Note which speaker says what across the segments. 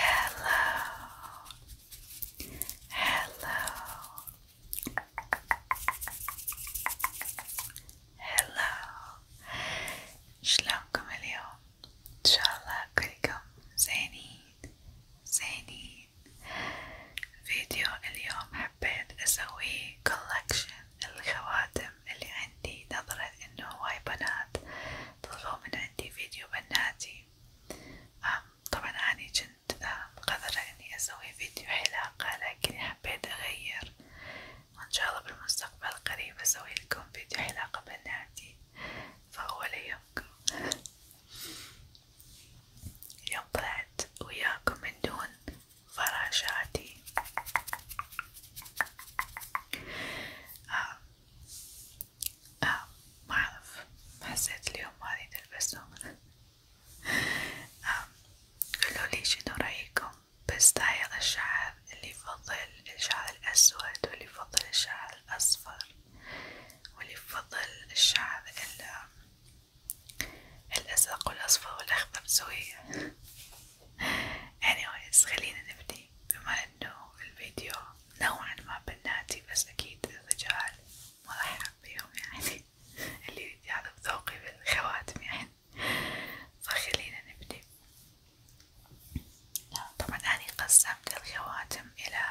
Speaker 1: Hello, hello, hello. شلونكم اليوم؟ إن شاء الله كلكم زينين زينين. فيديو اليوم حبيت أسوي collection الخواتم اللي عندي نظرا إنه هواي بنات طلبوا من عندي فيديو بناتي طبعا أني كنت قادرة إني أسوي فيديو حلاقة لكني حبيت أغير وإن شاء الله بالمستقبل القريب أسوي لكم فيديو حلاقة بناتي فهو ليومكم يوم طلعت وياكم من دون فراشاتي آه،, آه. آه. ما أعرف حسيت اليوم ما أريد ألبسهم آه. قولولي شنو رأيكم بستايل الشعر اللي يفضل الشعر الأسود واللي يفضل الشعر الأصفر واللي يفضل الشعر آه، الأزرق والأصفر والأخضر سوية anyways خلينا نبدي بما انه الفيديو نوعا ما بناتي بس اكيد الرجال مرحب بيهم يعني اللي يعرف ذوقي بالخواتم يعني فخلينا نبدي طبعا أنا قسمت الخواتم إلى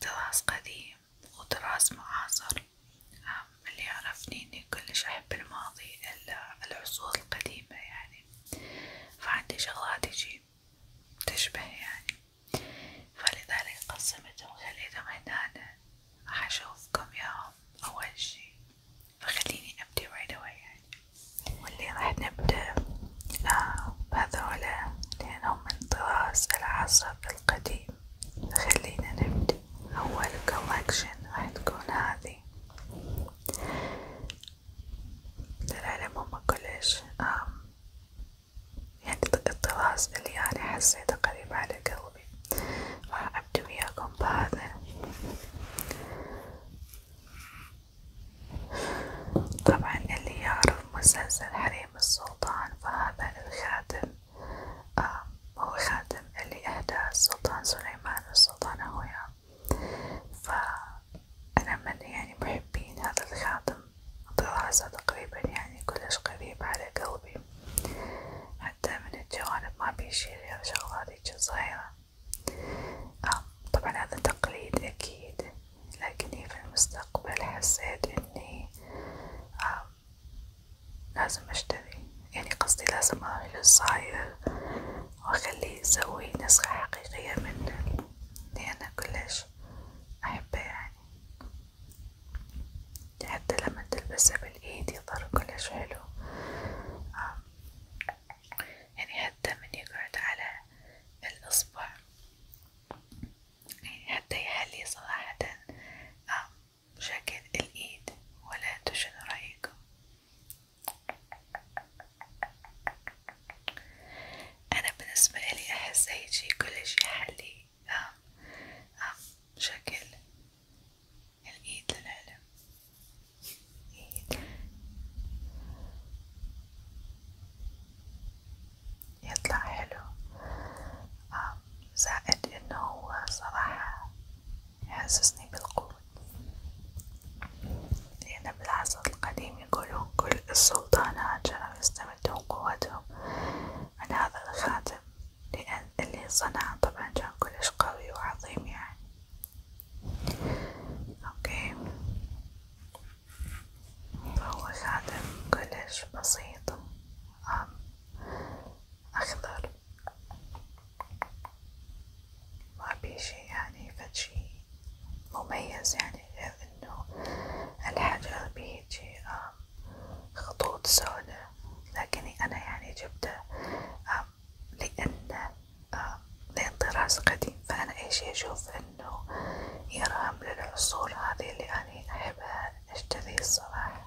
Speaker 1: طراز قديم وطراز معاصر اللي يعرفني إني كلش أحب الماضي العصور القديمة يعني فعندي شغلات يجي تشبه يعني فلذلك قسمتهم وخليتهم هنا حشوفكم ياهم أول شي فخليني أبدأ right away يعني واللي راح نبدأ آه بهذولا لأنهم من طراز العصر القديم خلينا نبدأ أول collection راح تكون هذه للعلم هما كلش يعني الطراز اللي أنا يعني حسيته قريب على قلبي راح أبدي وياكم بهذا طبعا اللي يعرف مسلسل حريم السلطان فهذا الخاتم وهو خاتم اللي أهداه السلطان سليمان للسلطان هويام فأنا من يعني محبين هذا الخاتم طرازة تقريبا يعني كلش قريب على قلبي حتى من الجوانب ما بيشيل غير شغلات هيجي صغيرة آه طبعا هذا تقليد أكيد لكني في المستقبل حسيت إني آه لازم أشتري يعني قصدي لازم أعمل الصاير وأخليه يسوي نسخة حقيقية منه اللي أنا كلش أحبه يعني حتى لما تلبسه بالإيد يظهر كلش حلو يعني حتى من يقعد على الإصبع يعني حتى يحلي صراحة شكل الإيد ولا تشن رأيكم أنا بالنسبة لي أحس أي شي كل شي حلي أم آه، أم آه، شكل الإيد للعلم يطلع حلو أم آه. زائد انه هو صراحة يحسسني بالقوة لأن بالعصر القديم يقولوا كل السلطانات كانوا يستمدون قوتهم من هذا الخاتم لأن اللي صنعه طبعا كان كلش قوي وعظيم يعني اوكي فهو خاتم كلش بسيط أخضر وأبي شي يعني فشي مميز يعني غير إنه الحجر بيجي خطوط سوداء لكني أنا يعني جبته لأن لأن طراز قديم فأنا أي شي أشوف إنه يرام للعصور هذه اللي أنا أحبها أشتري الصراحة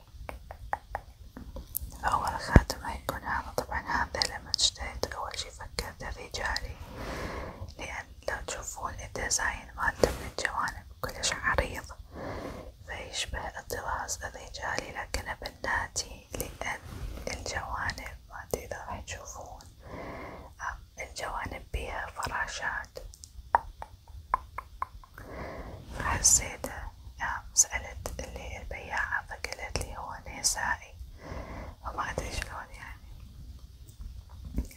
Speaker 1: أول خاتم هيكون هذا طبعا هذا لما اشتريت أول شي فكرت رجالي لأن لو تشوفون الديزاين مالته من الجوانب كلش عريض فيشبه الطراز الرجالي لكنه بناتي لأن الجوانب ما أدري إذا راح تشوفون آه، الجوانب بيها فراشات فحسيتها آه، سألت البياعة فقالت لي هو نسائي وما أدري شلون يعني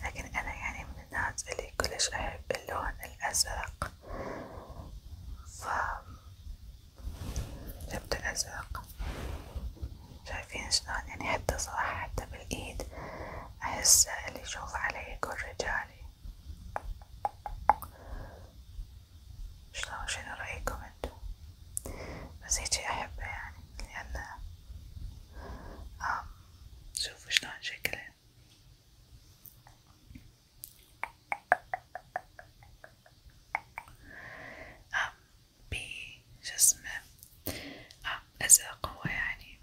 Speaker 1: لكن أنا يعني من الناس اللي كلش أحب اللون الأزرق ف جبت الأزرق شايفين شلون يعني حتى صراحة حتى بالإيد أحسه اللي يشوف علي يقول رجالي شلون شنو رأيكم انتم بس هيجي أحبه يعني لأن شوفوا شلون شكله بشو اسمه أزرق هو يعني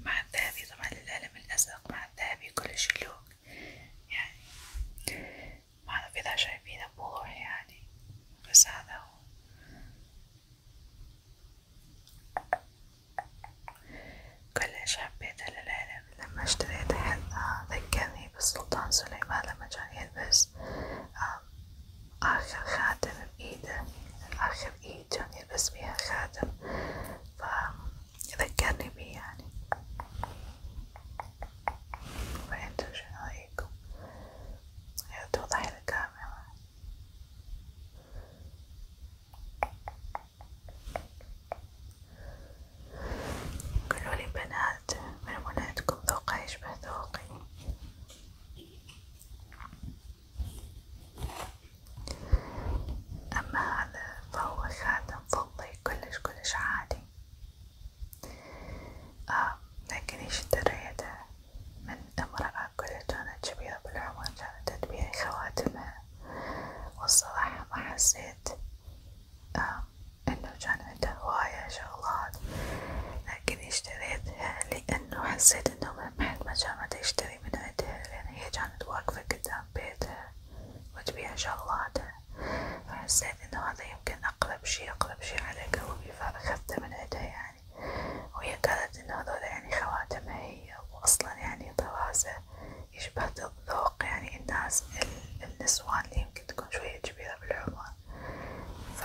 Speaker 1: مع الذهبي طبعا القلم الأزرق مع الذهبي كل شلوك يعني معرف إذا شايفينه بوضوح يعني بس هذا هو كلش حبيت هالعلم لما اشتريته آه، حتى ذكرني بالسلطان سليمان لما كان يلبس آه، آخر خاتم بإيده آخر فجأة جاني رسميها خاتم فذكرني بيه يعني فأنتم شنو رأيكم؟ هي توضح الكاميرا قولولي بنات من ولادكم ذوقها يشبه ذوقي أما هذا فهو خاتم فضي كلش كلش عادي آه لكن اشتريته من امرأة كلها كانت كبيرة بالعمر كانت تبيع خواتمها والصراحة ما حسيت آه انه كان عندها هواية شغلات لكن اشتريتها لأنه حسيت إنه ما محل ما جامد من عندها لأن هي كانت واقفة قدام بيتها وتبيع شغلاتها فحسيت إنه هذا يمكن أقرب شي أقرب شي على قلبي فأخذته من عندها يعني وهي قالت إنه هذول يعني خواتمها هي وأصلا يعني طرازة يشبه الذوق يعني الناس النسوان اللي يمكن تكون شوية كبيرة بالعمر ف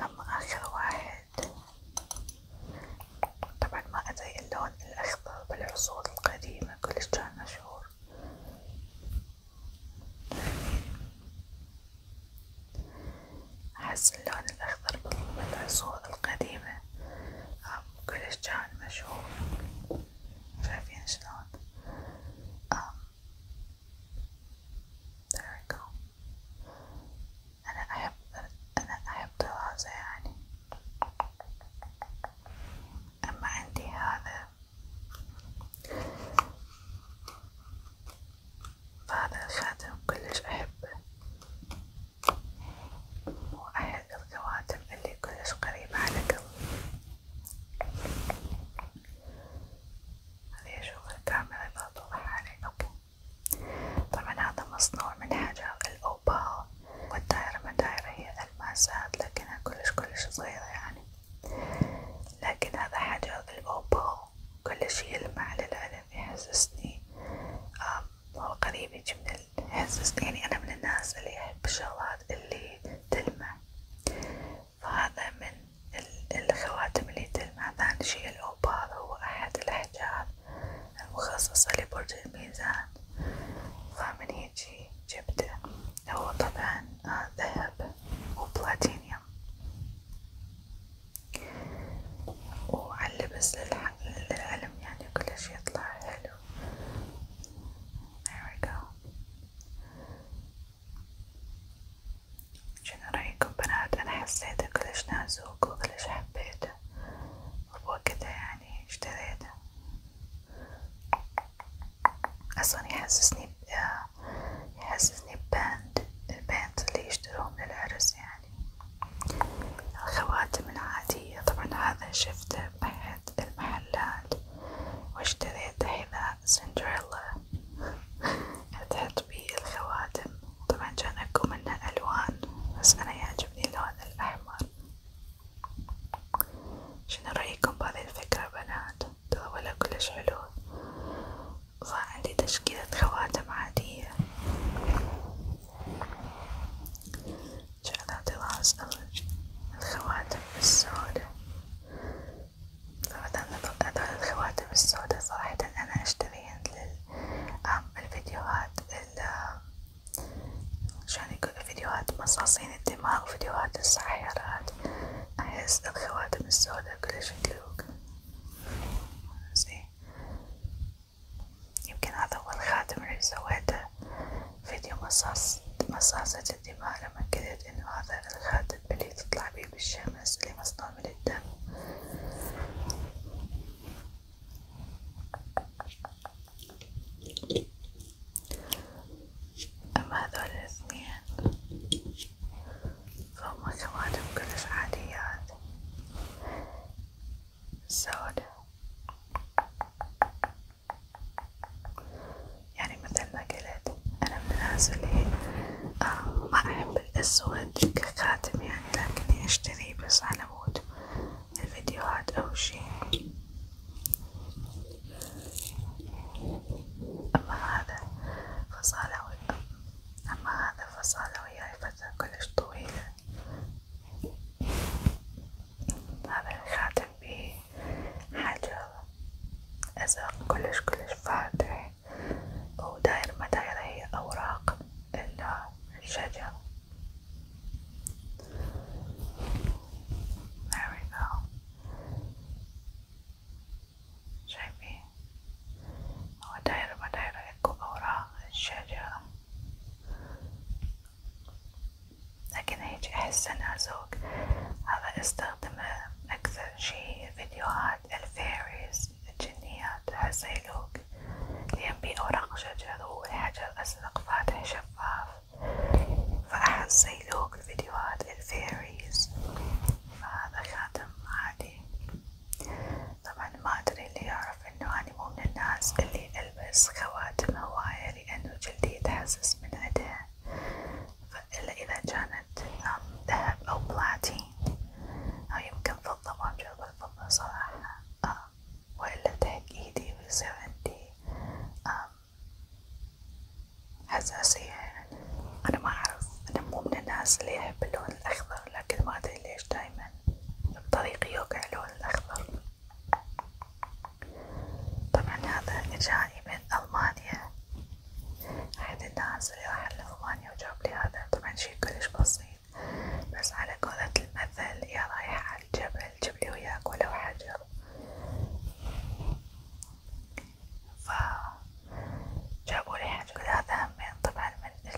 Speaker 1: أما آخر واحد طبعا ما أدري اللون الأخضر بالعصور القديمة كلش كان مشهور أحس اللون الأخضر بالعصور القديمة وكريستيان مشهور شايفين شلون um, there we go أنا أحب أنا أحب دراسة يعني أما عندي هذا فهذا الخاتم كلش أحبه وأحد الخواتم اللي كلش قريبة على قلبي هذي شغل تعمل بطول حالي أبو طبعا هذا مصنوع من حجر الأوبال والدائرة مدائرة هي ألماسات لكنها كلش كلش صغيرة يعني لكن هذا حجر الأوبال كلش يلمع للعين يحسسني هو قريب يجي من ال... يحسسني يعني أنا من الناس اللي أحب الشغلات اللي تلمع فهذا من الخواتم اللي تلمع ثاني شي الأوبال هو أحد الأحجار المخصصة لبرج الميزان فمن هيجي جبته هو طبعا آه، ذهب وبلاتينيوم وعلى للعلم يعني كل يطلع حلو شنو رأيكم بنات أنا حسيته كلش نازوق وكلش حبيته وبوقتها يعني اشتريته أصلا يحسسني ب يحسسني بباند الباند اللي يشتروه من يعني الخواتم العادية طبعا هذا شفته بأحد المحلات واشتريت حذاء سندريلا تحط بيه الخواتم طبعا كان اكو منه ألوان بس أنا يعجبني اللون الأحمر شنو رأيكم بهذه الفكرة بنات؟ تظل كلش حلو صار عندي تشكيلة خواتم عادية جعلت راس أرج الخواتم السوداء طبعا هذول الخواتم السوداء صراحة أنا أشتريهن للفيديوهات شلون يقولوا فيديوهات مصاصين الدماء وفيديوهات الساحرات أحس الخواتم السوداء كلش تلوق زين يمكن هذا هو الخاتم اللي سويته فيديو مصاص مصاصة الدماء لما قلت إنه هذا الخاتم اللي تطلع بيه بالشمس اللي مصنوع من الدم أما هذول الاثنين فهم سوادهم كلش عاديات سودا يعني مثل ما قلت أنا من الناس اللي آه، ما أحب الأسود كخاتم يعني لكن أشتريه بس على مود الفيديوهات أو شي أما هذا فصاله أما هذا فصاله وياي مسافة كلش طويلة هذا الخاتم بيه حجر أزرق كلش كلش فاتح وداير ما دايرة هي أوراق الشجر There we go. شايفين هو دايرة ما دايرة اكو اوراق الشجرة لكن هيج احس انا ذوق هذا استخدمه اكثر شي فيديوهات الفيريز الجنيات هسه يلوق لأن بيه اوراق شجر والحجر ازرق فاتح شفاف فأحس يلوق الفيديوهات الفيريز فهذا خاتم عادي طبعا ما أدري اللي يعرف إنه أنا مو من الناس اللي ألبس خواتم هواية لأنه جلدي يتحسس من عدها إلا إذا كانت ذهب أو بلاتين أو يمكن فضة ما مجرب الفضة صراحة آه. وإلا تحت إيدي بيصير عندي آه. حساسية يعني أنا ما أعرف أنا مو من الناس اللي يحب اللون الأخضر لكن ما أدري ليش دايما بطريقي يوقع اللون الأخضر طبعا هذا إجاني من ألمانيا أحد الناس اللي راح لألمانيا وجاب لي هذا طبعا شي كلش بسيط بس على قولة المثل يا رايح على الجبل جبلي وياك ولو حجر فجابوا لي حاجة كل هذا همين طبعا من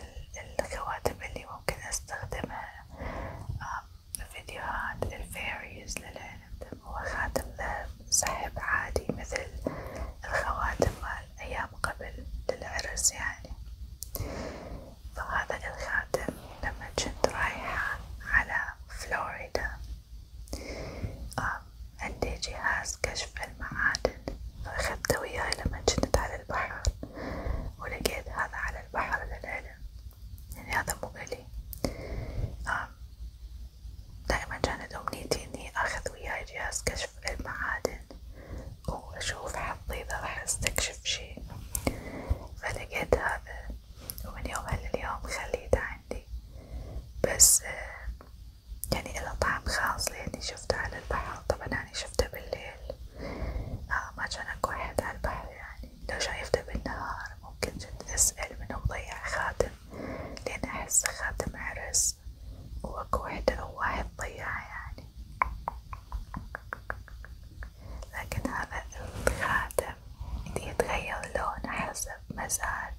Speaker 1: الكواتب اللي ممكن استخدمها فيديوهات الفيريز للعلم هو خاتم ذهب سحب عادي مثل الخواتم مال أيام قبل للعرس يعني فهذا الخاتم لما كنت رايحة على فلوريدا آه عندي جهاز كشف المعادن أخذته وياي لما كنت على البحر ولقيت هذا على البحر للعلم يعني هذا مو إلي آه دائما كانت أمنيتي إني أخذ وياي جهاز كشف المعادن وأشوف حظي إذا راح أستكشف شي فلقيت هذا ومن يومها لليوم خليته عندي بس آه، يعني إلها طعم خاص لأني شفته على البحر طبعا أنا شفته بالليل آه ما كان أكو أحد على البحر يعني لو شايفته بالنهار ممكن كنت أسأل منو مضيع خاتم لأن أحس خاتم عرس وأكو وحدة أو واحد ضيعه يعني لكن هذا الخاتم يتغير لونه حسب مزاج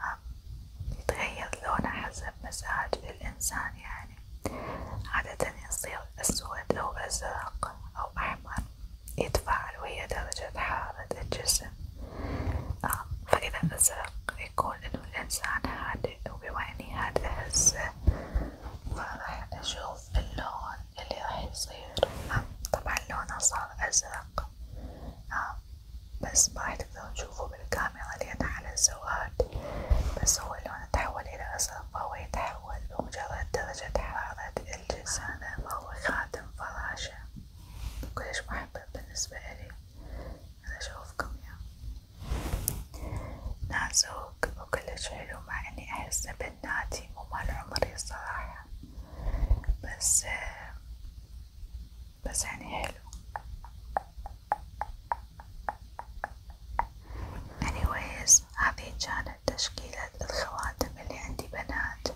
Speaker 1: آه، يتغير لونه حسب مزاج الإنسان يعني عادة يصير أسود أو أزرق أو أحمر يتفاعل ويا درجة حرارة الجسم آه، فإذا الأزرق يكون إنه الإنسان هادئ وبما إني هسة فراح أشوف اللون اللي راح يصير آه، طبعا لونه صار أزرق الحلقة آه، بس ما تقدروا تشوفوا بالكاميرا لأنه على السواد بس هو لونه تحول إلى أزرق فهو يتحول بمجرد درجة حرارة الجسم هذا فهو خاتم فراشة كلش محبب بالنسبة إلي أنا أشوفكم يا نازوك وكلش حلو مع إني أحسه بناتي مو مال عمري الصراحة بس بس يعني حلو anyways هذه كانت تشكيلة الخواتم اللي عندي بنات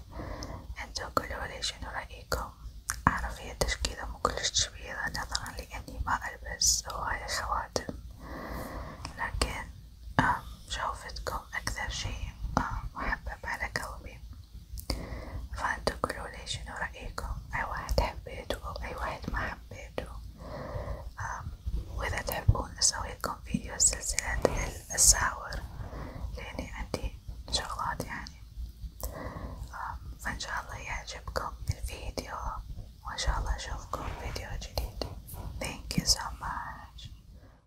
Speaker 1: انتو قولولي شنو رأيكم أعرف هي تشكيلة مو كلش كبيرة نظرا لأني ما ألبس هواية خواتم لكن شوفتكم أكثر شيء محبب آه، على قلبي فأنتو قولولي شنو رأيكم أي واحد حبيته أو أي واحد ما حبيته وإذا تحبون أسويلكم فيديو سلسلة الساور لأني عندي شغلات يعني فإن شاء الله يعجبكم الفيديو وإن شاء الله أشوفكم فيديو جديد Thank you so much